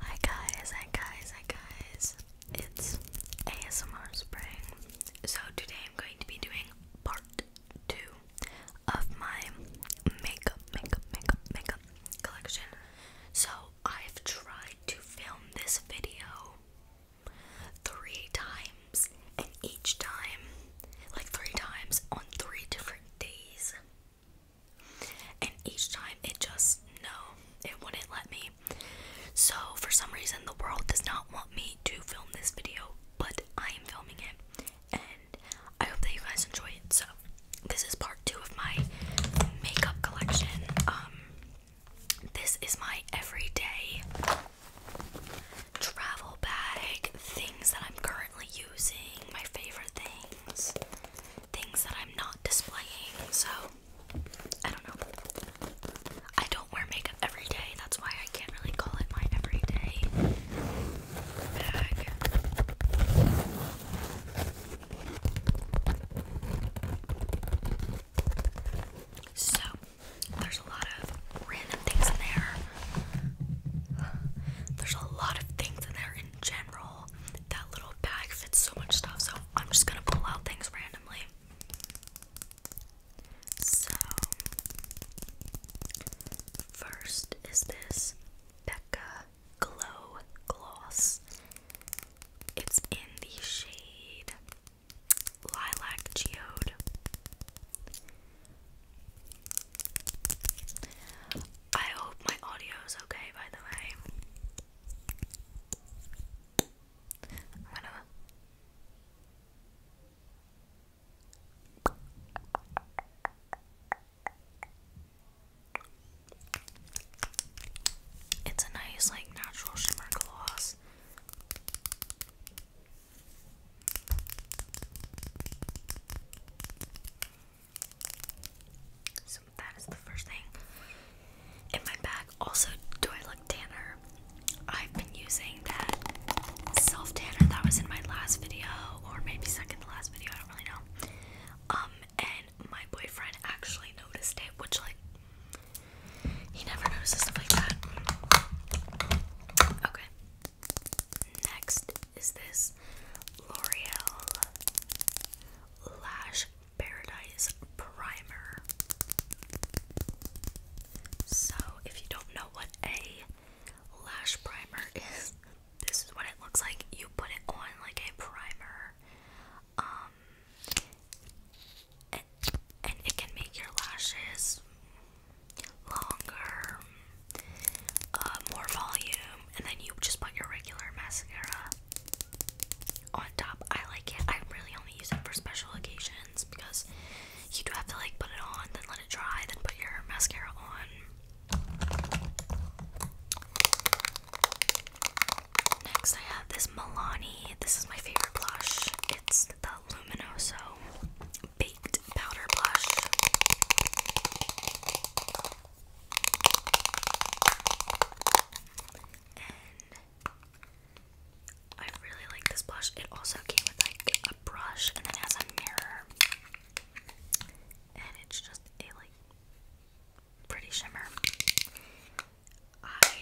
Hi guys, hi guys, hi guys. It's ASMR Spring. So today I'm going to be doing part two of my makeup, makeup, makeup, makeup collection. So I've tried to film this video three times, and each time, like three times on three different days. And each time it just, no, it wouldn't let me. So, for some reason, the world does not want me to film this video, but I am filming it. And I hope that you guys enjoy it. So, this is part two of my makeup collection. Um, this is my everyday travel bag, things that I'm currently using, my favorite things things that I'm not displaying, so I don't know. I don't wear makeup every day, that's why I can't really call it my everyday bag. So, there's a lot of random things in there. There's a lot of things in there in general that little bag fits so much stuff, so I'm just gonna pull out things randomly. So, first is this Becca Glow Gloss. It's in the shade Lilac Geode. I hope my audio is okay, by the way. It's a nice, like, natural shimmer gloss. So that is the first thing in my bag. Also, do I look tanner? I've been using that self tanner that was in my last video, or maybe second to last video. I don't really know. Um, and my boyfriend actually noticed it, which like he never notices stuff like that. Okay. Next is this L'Oreal Lash Paradise Primer. So, if you don't know what a lash primer is, this is what it looks like. You put it on like a primer, um, and, it can make your lashes longer, uh, more volume, and then you just put your regular mascara on top. I like it. I really only use it for special occasions because you do have to like put it on, then let it dry, then put your mascara on. Next, I have this Milani. This is my favorite blush. It's the Luminoso Baked Powder Blush. I really like this blush. It also came with like a brush and then it has a mirror. And it's just a like pretty shimmer. I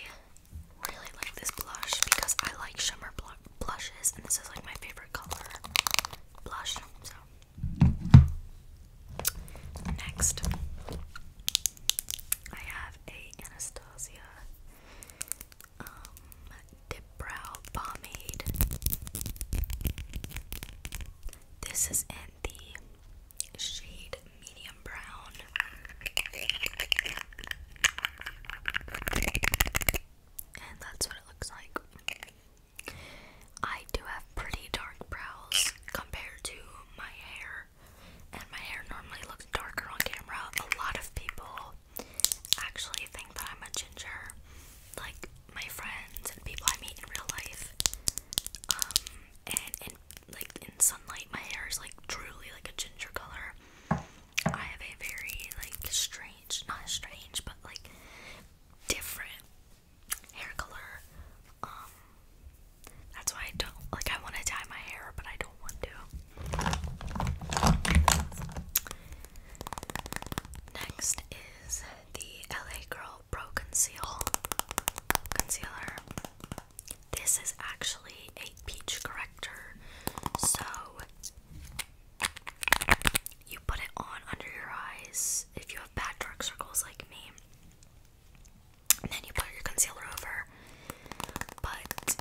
really like this blush because I like shimmer bl blushes and this is like my favorite color blush. So Next, I have a Anastasia um, dip brow pomade. This is in the shade medium brown. And that's what it looks like. I do have pretty dark brows compared to my hair, and my hair normally looks darker on camera. A lot of people actually think that I'm a ginger, like my friends and people I meet in real life. Um, and like in sunlight, my hair is like truly like a ginger color. I have a very like strange, not strange, but like different hair color. Um, that's why I don't like. I want to dye my hair, but I don't want to. Next is the LA Girl Pro Conceal Concealer. This is actually a peach corrector, so put it on under your eyes if you have bad dark circles like me. then you put your concealer over. But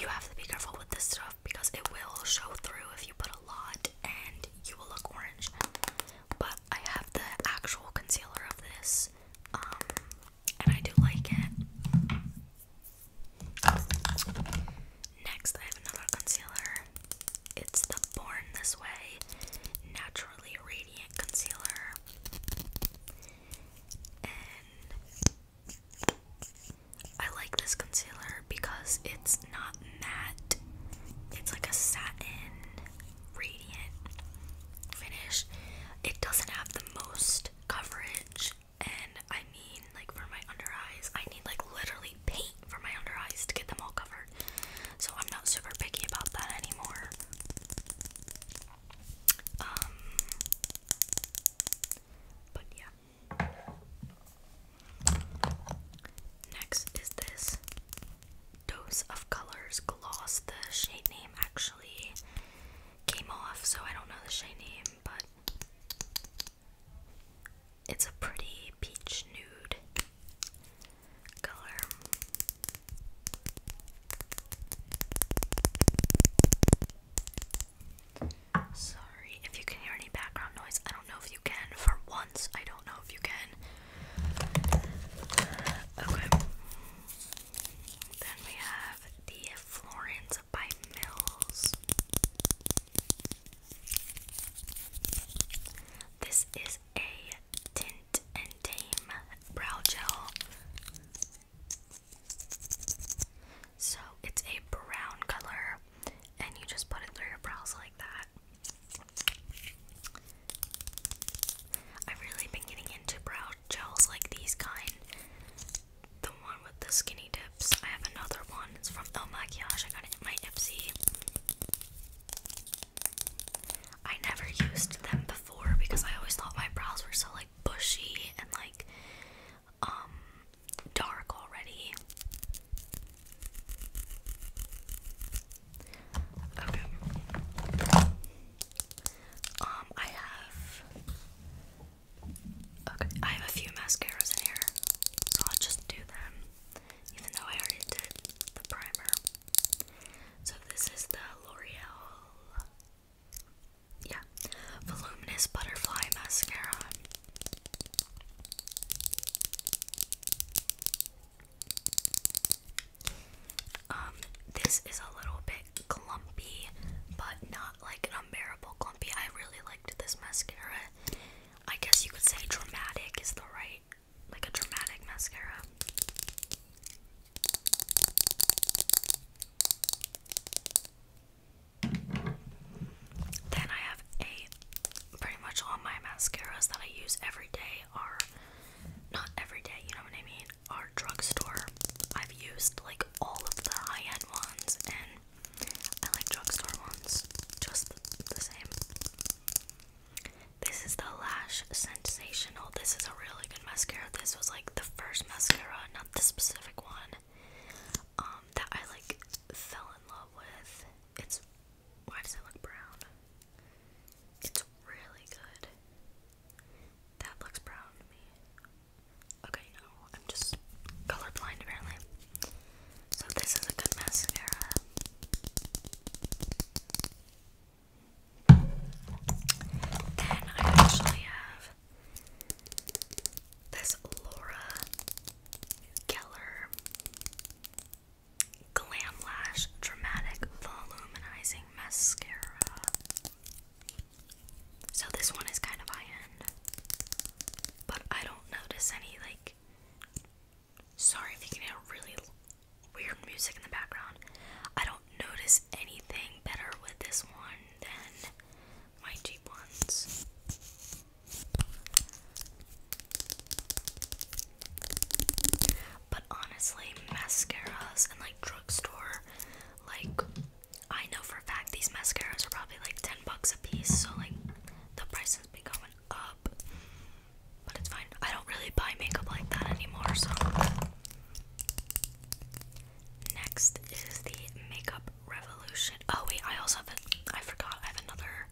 you have to be careful with this stuff because it will show through if you put a lot and you will look orange. But I have the actual concealer of this. Um, and I do like it. Next I have another concealer. It's the Born This Way Naturally Radiant Concealer. And I like this concealer because it's not matte, it's like a satin, radiant finish. It doesn't have the most coverage, and I mean, like, for my under eyes, I need like literally paint for my under eyes to get them all covered. So I'm not super picky about that anymore. Um, but yeah. Next is this Dose of Colors Gloss. The shade name actually came off, so I don't know the shade name, but it's a pretty peach nude color. Sorry if you can hear any background noise. I don't know if you can. For once, I don't know if you can. Okay. Then we have the Florence by Mills. This is a Tint and Tame Brow Gel. So it's a brown color, and you just put it through your brows like that. I've really been getting into brow gels like these kind. The one with the skinny tips. I have another one. It's from El Maquillage. I got it in my Ipsy. I never used them before because I always thought my brows were so like bushy and like um, dark already. Okay. Um I have Okay, I have a few mascaras in here. So I'll just do them even though I already did the primer. So this is the L'Oreal, yeah, Voluminous Butterfly Mascara. Um, this is a little bit clumpy, but not like an unbearable clumpy. I really liked this mascara. I guess you could say dramatic is the right like a dramatic mascara. Then I have a pretty much all my mascaras that I use every day are not every day, you know what I mean? Are drugstore. I've used like all of the high end ones and I like drugstore ones just the, the same. This is the Lash Sensational. This is a really good mascara. This was like the first mascara, not the specific one, um, that I like fell in love with. It's why does it look brown? It's really good. That looks brown to me. Okay, no, I'm just color blind apparently. So this is a good mascara. Then I actually have this Laura Geller Glam Lash Dramatic Voluminizing Mascara. So this one is kind of high end, but I don't notice any like Sorry if you really weird music in the background. I don't notice anything better with this one than my cheap ones. But honestly, mascaras and like drugstore, like I know for a fact these mascaras are probably like 10 bucks a piece, so like the price has been going up. But it's fine. I don't really buy makeup like that anymore, so. Next is the Makeup Revolution. Oh, wait, I also have it. I forgot. I have another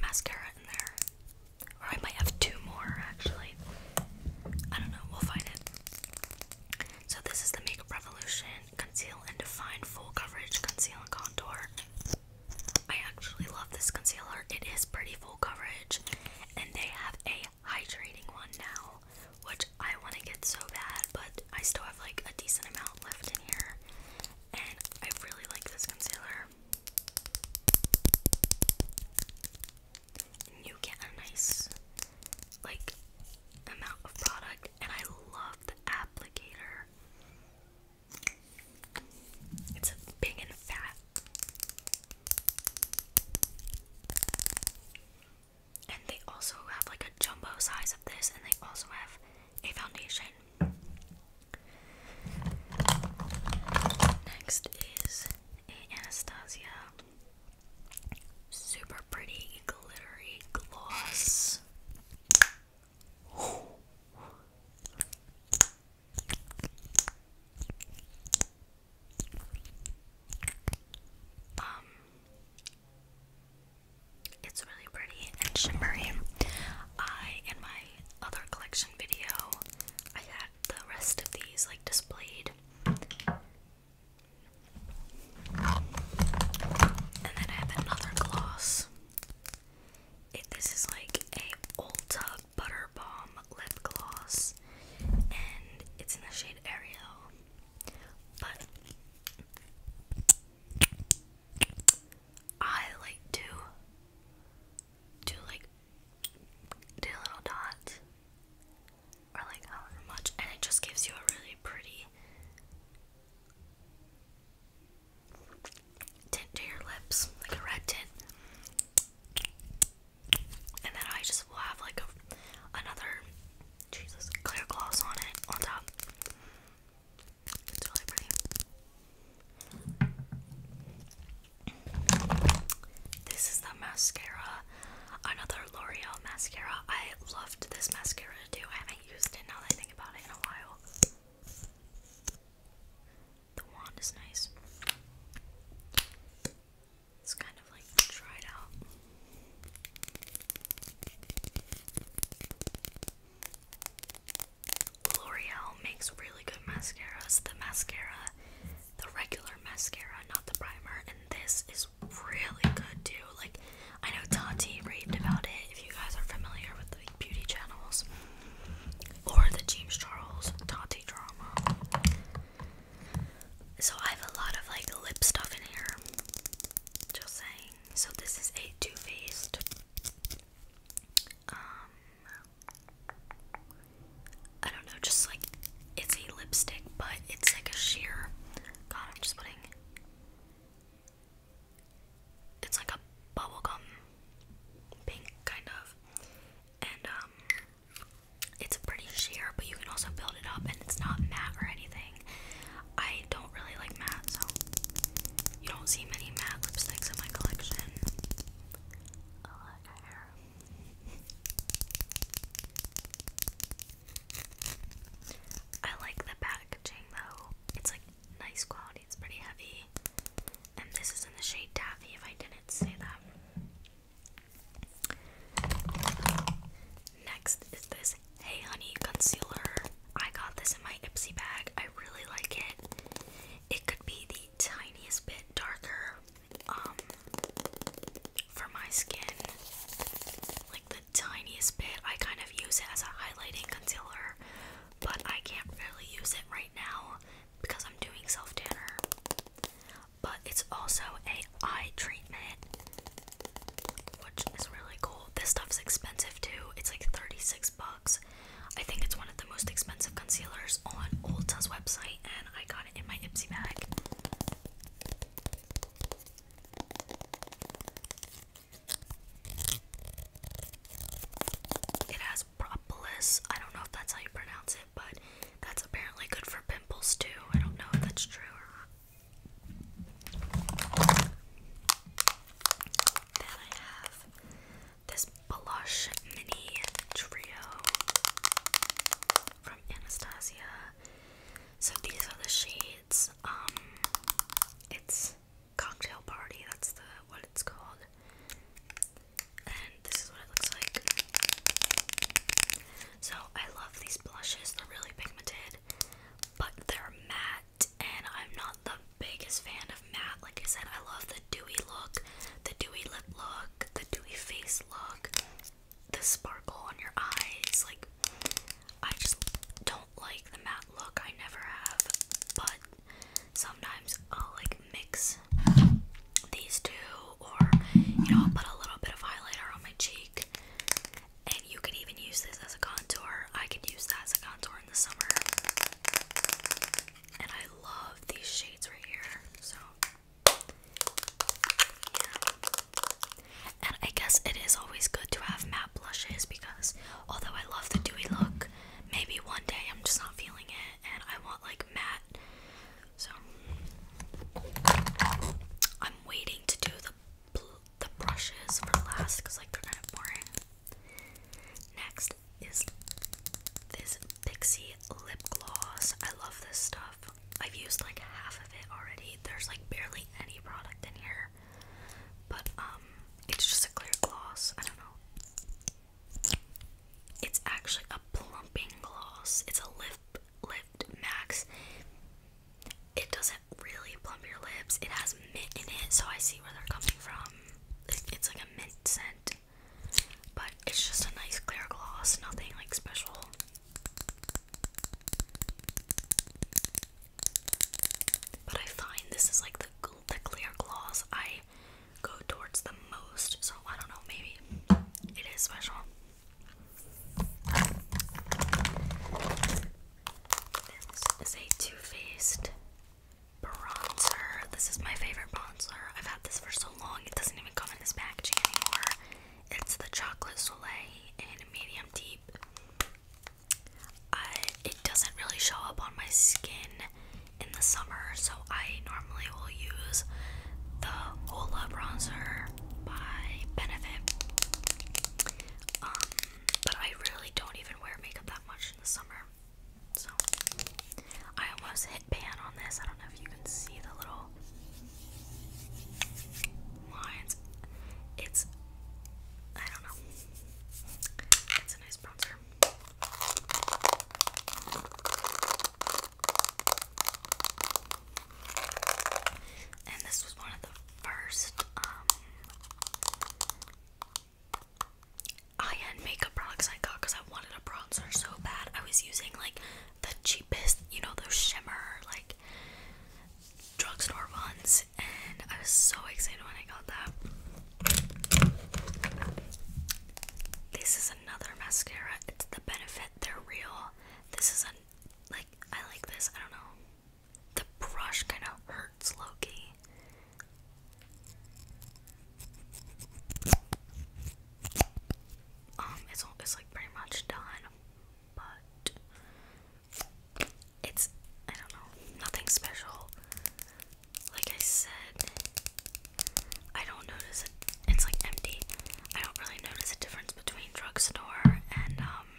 mascara in there. Or I might have two more, actually. I don't know. We'll find it. So, this is the Makeup Revolution Conceal and Define Full Coverage Conceal Contour. I actually love this concealer. It is pretty full coverage, and they have a hydrating one now, which I want to get so bad, but I still have like a decent amount left in here, and I really like this concealer. you get a nice, like, amount of product, and I love the applicator. It's big and fat. And they also have like a jumbo size of this, and they also have a foundation. Next is a Anastasia super pretty glittery gloss. Um, it's really pretty and shimmery. I, in my other collection video, I had the rest of these like displayed. And then I have another gloss. this is like a Ulta Butter Lip Gloss, and it's in the shade Ariel. But I like to do like do little dot, or like however much, and it just gives you a really pretty tint to your lips, like a red tint. And then I just will have like a, another, Jesus, clear gloss on it, on top. It's really pretty. This is the mascara, another L'Oreal mascara. I loved this mascara too. I haven't used it now that about it in a while. The wand is nice. It's kind of like dried out. L'Oreal makes really good mascaras. The mascara, the regular mascara, not the primer, and this is really good too. Like, I know Tati raved about it. If you guys are familiar with the beauty channels or the James Charles, Tati reality drama. So I have a lot of like lip stuff in here. Just saying. So this is a Too Faced. Um I don't know, just like it's a lipstick, but it's like a sheer God, I'm just putting it's like a bubblegum pink kind of and um it's pretty sheer but you can also build it up and it's not matte or anything I don't really like matte so you don't see many matte lipsticks in my collection I like hair I like the packaging though it's like nice quality it's pretty heavy and this is in the shade Taffy, if I didn't say that. Next is this Hey Honey Concealer. I got this in my Ipsy bag. I really like it. It could be the tiniest bit darker um, for my skin. Like the tiniest bit. I kind of use it as a highlighting concealer, but I can't really use it right now because I'm doing self tanner, but it's also a eye treatment, which is really cool. This stuff's expensive too. It's like 36 bucks. I think it's one of the most expensive concealers on Ulta's website, and I got it in my Ipsy bag. It has propolis. I don't know if that's how you pronounce but that's apparently good for pimples too. I don't know if that's true or not. Then I have this blush mini trio from Anastasia. So these are the shades. Um, it's cocktail party. That's the what it's called and this is what it looks like. So I love these blushes, they're really pigmented, but they're matte, and I'm not the biggest fan of matte. Like I said, I love the dewy look, the dewy lip look, the dewy face look, the sparkle on your eyes. Like, I just don't like the matte look, I never have, but sometimes I'll like mix these two, or you know, I'll put a little bit of highlighter on my cheek. And you can even use this as a contour. I can use that as a contour in the summer. And I love these shades right here. So, yeah. And I guess it is always good to have matte blushes because although I love the dewy look, maybe one day I'm just not feeling it and I want like matte so I'm waiting to do the the brushes for last because like they're kind of boring. Next is this Pixie lip gloss. I love this stuff. I've used like half of it already. There's like barely any product in here, but um, it's just a clear gloss. I don't know. It's actually a plumping gloss. It's a lift lift max. It doesn't really plump your lips. It has mint in it, so I see where they're coming from. It's, it's like a mint scent. But it's just a nice clear gloss, nothing like special. But I find this is like the the clear gloss I go towards the most. So I don't know, maybe it is special. This is a Too Faced bronzer. This is my favorite bronzer. I've had this for so long, it doesn't even come in this packaging anymore. It's the Chocolate Soleil in medium deep. it doesn't really show up on my skin in the summer, so I normally will use the Ola bronzer by Benefit. Um, but I really don't even wear makeup that much in the summer. So I almost hit pan on this. I don't know if you can see the little lines. It's I don't know. It's a nice bronzer. And this was one of the first um, high-end makeup products I got because I wanted a bronzer so bad. I was using like the cheapest, you know, those shimmer like drugstore ones, and I was so excited when I got that. This is another mascara. It's the Benefit. They're real. This is a like I like this. I don't know. The brush kind of hurts, Loki. Um, it's it's like pretty much done, but it's I don't know nothing special. Like I said, I don't notice a it's like empty. I don't really notice a difference between drugstore and um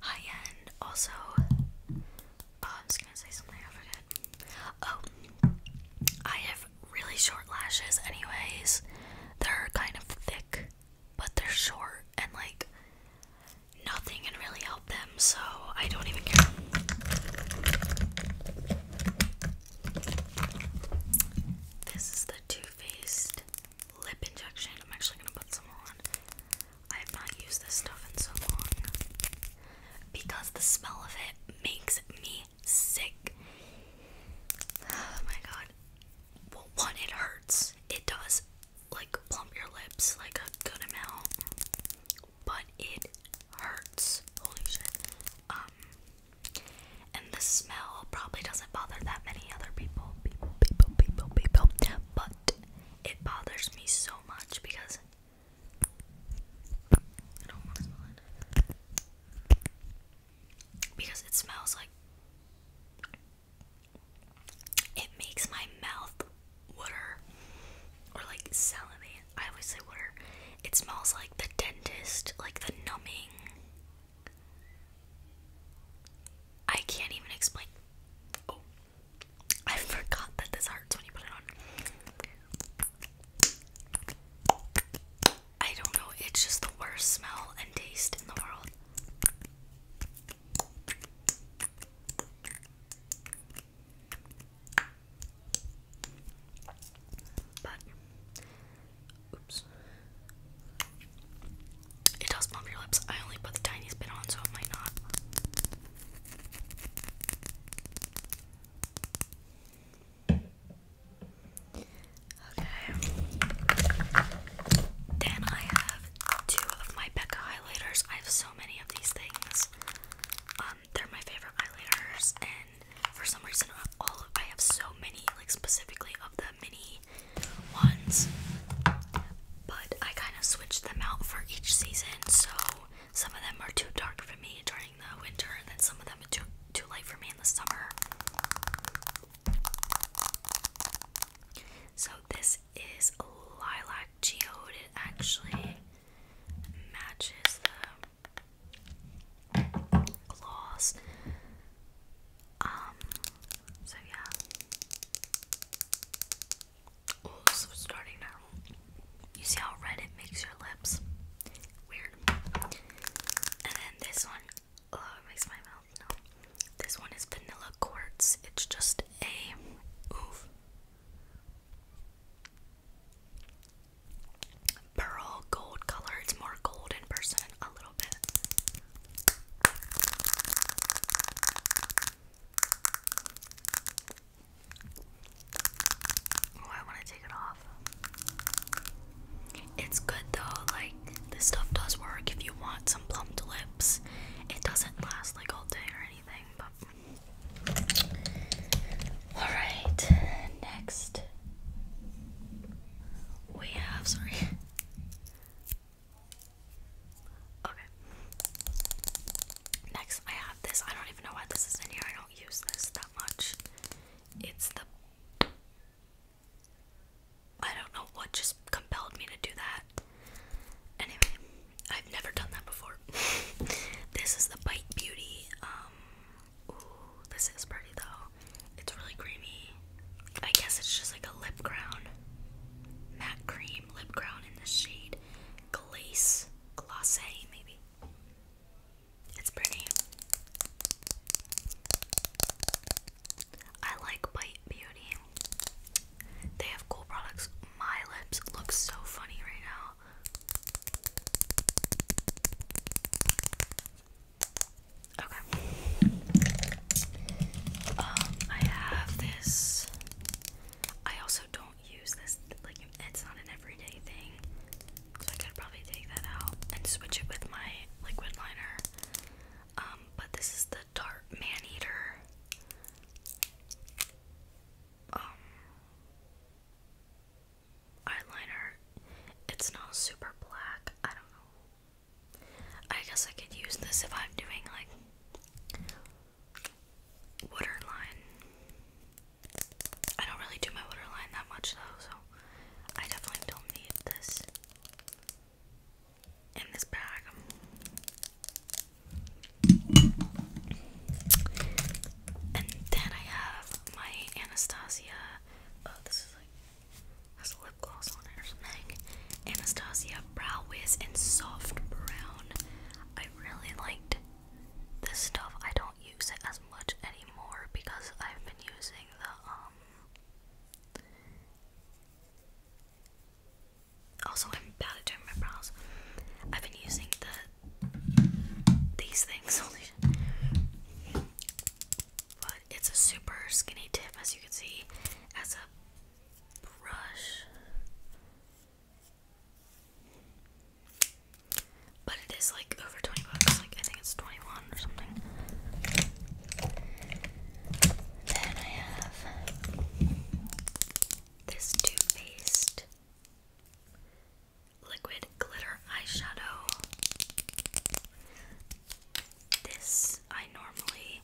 high end. Also, uh, I'm gonna say something I forgot. Oh, I have really short lashes. Anyways, they're kind of thick, but they're short and like nothing can really help them. So I don't even care. This is the Too Faced lip injection. I'm actually gonna put some on. I have not used this stuff in so long because the smell of it makes me sick. Oh my god. one, it hurts. It does like plump your lips like a good amount, but it hurts. Holy shit. Um, and the smell probably doesn't bother that many other people, people, people, people, people, but it bothers me so much because it. Because it smells like it makes my mouth water or like salami. I always say water. It smells like the dentist, like the numbing. I can't even explain. Oh, I forgot that this hurts when you put it on. I don't know, it's just the worst smell and taste in the world. But, oops. It does bump your lips. I only put the tiniest bit on, so it might not. Okay. Then I have two of my Becca highlighters. I have so many of these things. Um, they're my favorite highlighters, for some reason, all I have so many, like specifically of the mini ones, but I kind of switched them out for each season. So some of them are too dark for me during the winter, and then some of them are too too light for me in the summer. So this is lilac geode. It actually matches the gloss. Um, so yeah. Oh, so starting now. You see how red it makes your lips? Weird. And then this one, oh, it makes my mouth No. This one is vanilla quartz. It's just a pearl gold color. It's more gold in person a little bit. Oh, I want to take it off. It's good though, like, this stuff does work if you want some plumped lips. It doesn't last like all day or anything, but. Alright, next we have, sorry. Okay. Next, I have this. I don't even know why this is in here. I don't use this that much. It's the. I don't know what just compelled me to do that. Anyway, I've never done that before. this is the Bite Beauty um, Ooh, this is pretty though. It's really creamy. I guess it's just like a lip crown. Matte cream lip crown in the shade Glace. Glace, maybe. It's pretty. I like Bite Beauty. They have cool products. My lips look so funny right now. Okay. Um, I have this. I also don't use this. Like, it's not an everyday thing. So I could probably take that out and switch it with my liquid liner. Um, but this is the Tarte Man Eater. Um, eyeliner. It's not super black. I don't know. I guess I could use this if I'm doing like waterline. I don't really do my waterline that much though, so I definitely don't need this in this bag. And then I have my Anastasia Oh, this is like has lip gloss on it or something. Anastasia Brow Wiz in soft brown. I really liked this stuff. I don't use it as much anymore because I've been using the um also, I'm bad at doing my brows. I've been using the these things but it's a super skinny tip, as you can see, as a brush. But it is like over 20 bucks, like I think it's 21 or something. Then I have this Too Faced liquid glitter eyeshadow. This I normally,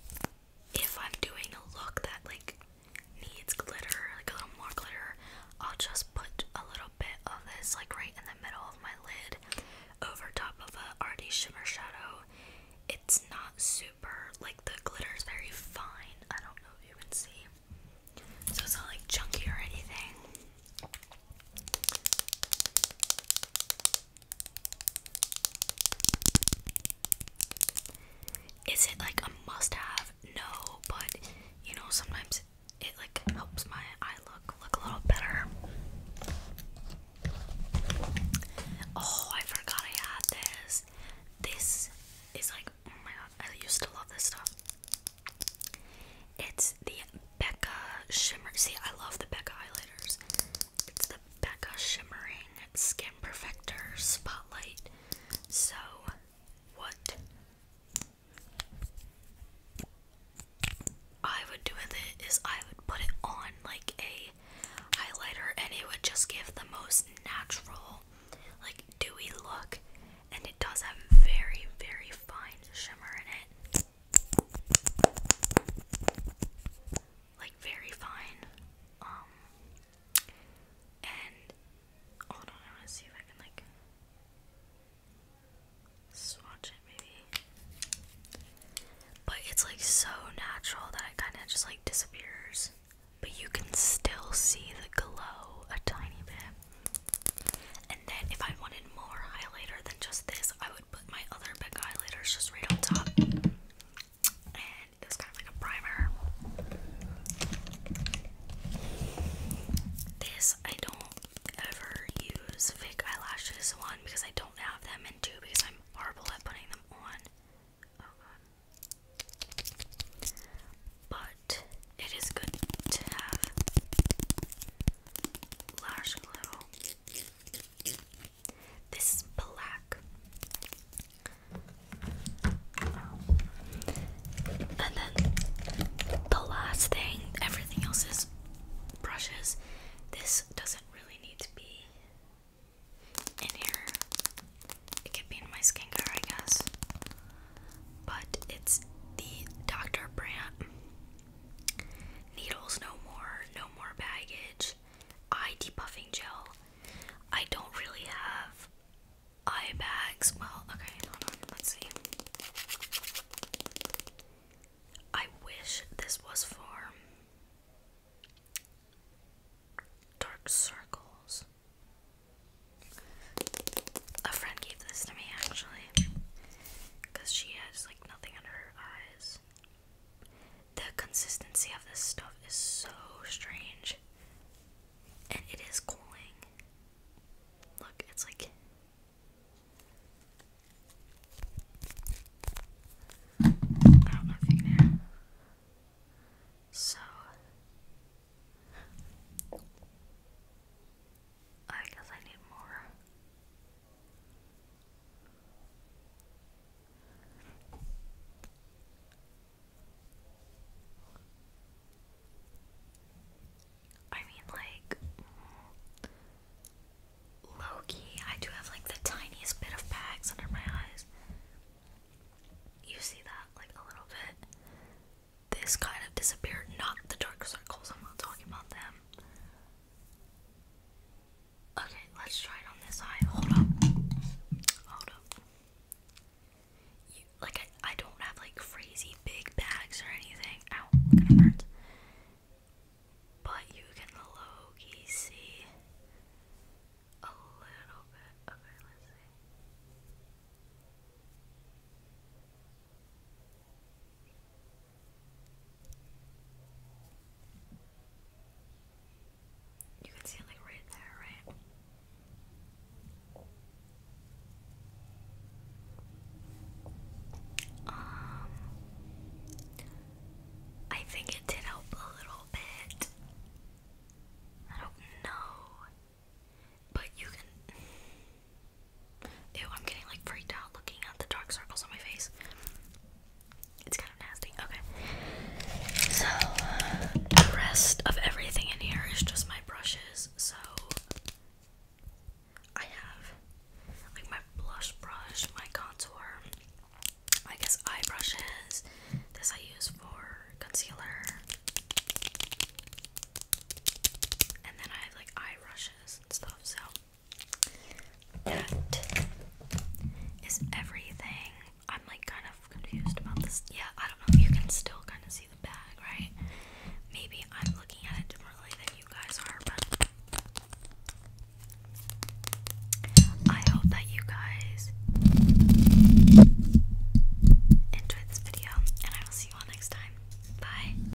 if I'm doing a look that like needs glitter, like a little more glitter, I'll just put a little bit of this like right in the middle of my lid over top of a already shimmer shadow. It's not super like the glitter is very fine. I don't know if you can see. So it's not like chunky or anything. Is it like a must have? No, but you know, sometimes it like helps my eye look look a little better. Oh, I forgot I had this. This is like, oh my god, I used to love this stuff. It's the Becca Shimmer. See, I love the Becca highlighters. It's the Becca Shimmering Skin Perfector Spotlight. So, what I would do with it is I would put it on like a highlighter and it would just give the most natural, like dewy look. And it does have very, very fine shimmer in it like very fine. Um, and hold on, I want to see if I can like swatch it maybe. But it's like so natural that it kind of just like disappears. But you can still see the glow a tiny bit. And then if I wanted more highlighter than just this, I would put my other big highlighters just right on top. And it kind of like a primer. This I don't ever use fake eyelashes one because I don't have them and two because I'm horrible at putting them on. But it is good to have lash glue. This is black. And then the last thing, everything else is brushes. This doesn't really need to be in here. It could be in my skincare, I guess. But it's the Dr. Brandt Needles no more, no more baggage. Eye depuffing gel. I don't really have eye bags. Well, okay, hold on, let's see. I wish this was for dark circles. A friend gave this to me actually because she has like nothing under her eyes. The consistency of this stuff is so strange. And it is cooling. Look, it's like. I do So. I guess I need more. I mean, like, low I do have like the tiniest bit of bags under my eyes. You see that, like, a little bit. This kind of disappeared, not the dark circles, I'm not talking about them. Okay, let's try it on this eye. Hold up. Hold up. like, I, I don't have, like, crazy big bags or anything. Ow, gonna burn. But you can low see a little bit. Okay, let's see. You can see it like right there, right? Um, I think it did help a little bit. I don't know, but you can. Ew, I'm getting like freaked out looking at the dark circles on my face. It's kind of nasty. Okay. So, the rest of everything in here is just my brushes. So, I have like my blush brush, my contour, I guess eye brushes. This I use for concealer. And then I have like eye brushes and stuff. So, that is everything. I'm like kind of confused about this. Yeah, I don't know. You can still kind of see the bag, right? Maybe I'm looking at it differently than you guys are, but. I hope that you guys enjoyed this video, and I will see you all next time. Bye.